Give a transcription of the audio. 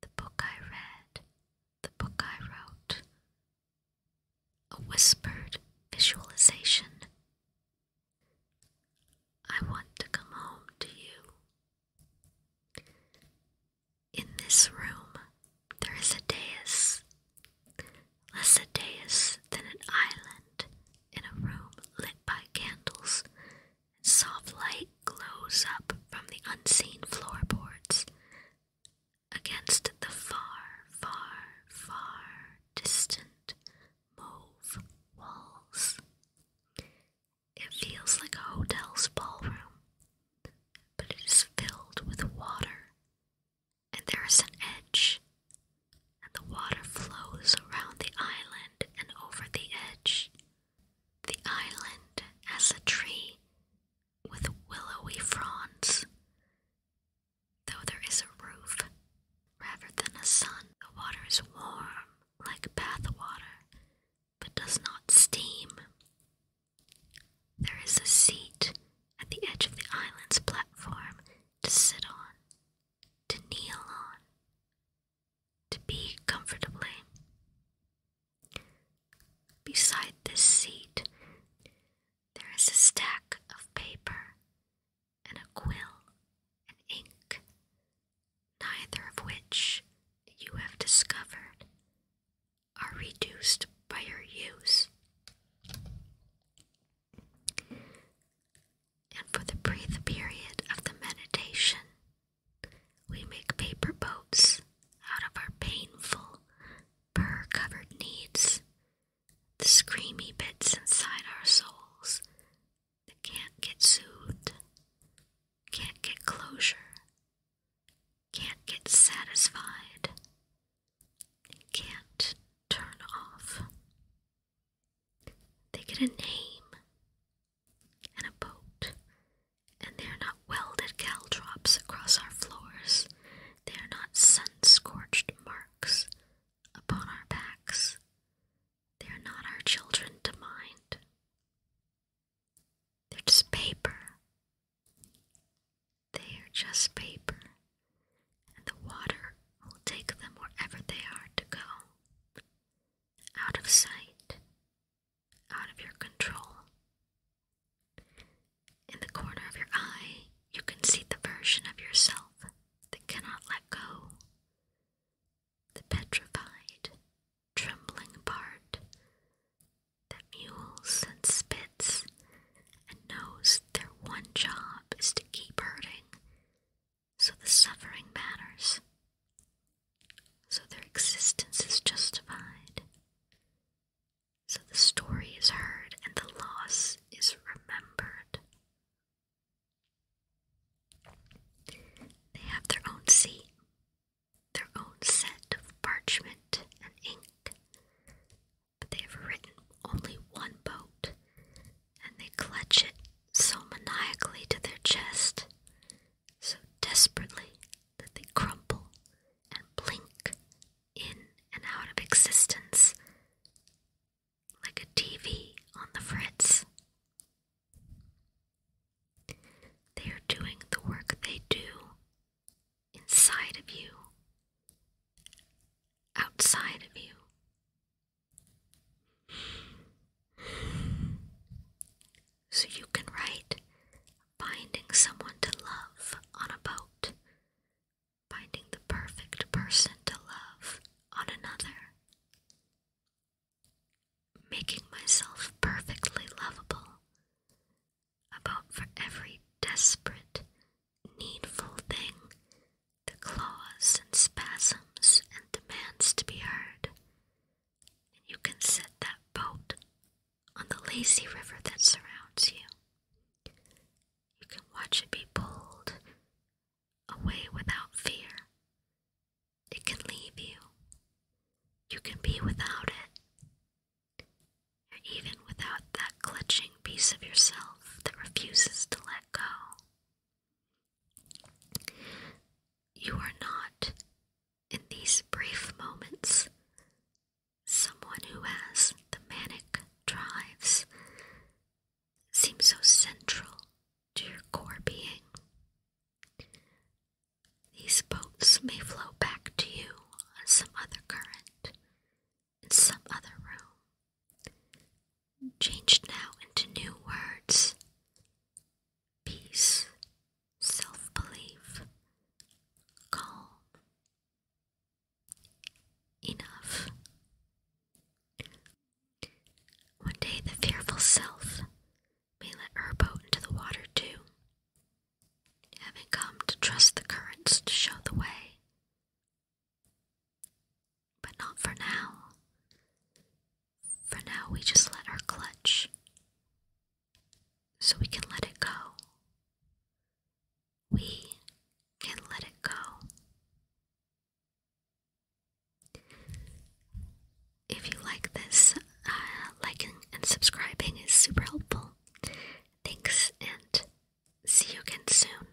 The book I read, the book I wrote, a whispered visualization. I want to come home to you. In this room, there is a dais, less a dais than an island in a room lit by candles Soft light glows up from the unseen floorboards. Against the far, far, far distant mauve walls. It feels like a hotel's ballroom, but it is filled with water, and there is an edge, and the water flows around the island and over the edge, the island has a tree with willowy fronds. Though there is a roof rather than a sun, the water is warm like bath water, but does not steam. There is a seat at the edge of the island's platform to sit on, to kneel on, to be comfortably. Beside this seat, there is a stack of paper and a quill and ink, neither of which you have discovered are reduced by your use and for the breathe period of the meditation, we make paper boats out of our painful, burr covered needs, the screamy bits inside our souls that can't get soothed, can't get closure, can't get satisfied, can't turn off. They get a name and a boat, and they are not welded caltrops across our floors. They are not sun scorched marks upon our backs. They are not our children to mind. They're just paper. They are just paper, and the water will take them wherever they are to go out of sight, out of your control. In the corner of your eye, you can see the version of yourself that cannot let go, the petrified, trembling part that mules and spits and knows their one job is to keep hurting so the suffering matters. So their existence is justified. So the story is heard and the loss is remembered. They have their own seat, their own set of parchment and ink, but they have written only one boat, and they clutch it so maniacally to their chest, so desperately that they crumple and blink in and out of existence like a TV on the fritz. They are doing the work they do inside of you, outside of you, so you can write Finding someone to love on a boat, finding the perfect person to love on another, making myself perfectly lovable, about for every desperate, needful thing the claws and spasms and demands to be heard. And you can set that boat on the lazy river that surrounds you. You can watch it be pulled away without fear. It can leave you. You can be without it. Or even without that clutching piece of yourself that refuses to let go. You are not, in these brief moments, someone who has the manic drives seem so central to your core being. These boats may flow back to you on some other current, in some other room, Changed now into new words peace, self belief, calm, enough. One day the fearful self may let her boat into the water too, having come to trust the currents to show the way. But not for now. For now, we just let her clutch so we can let it go. We can let it go. If you like this, uh, liking and subscribing is super helpful. Thanks, and see you again soon.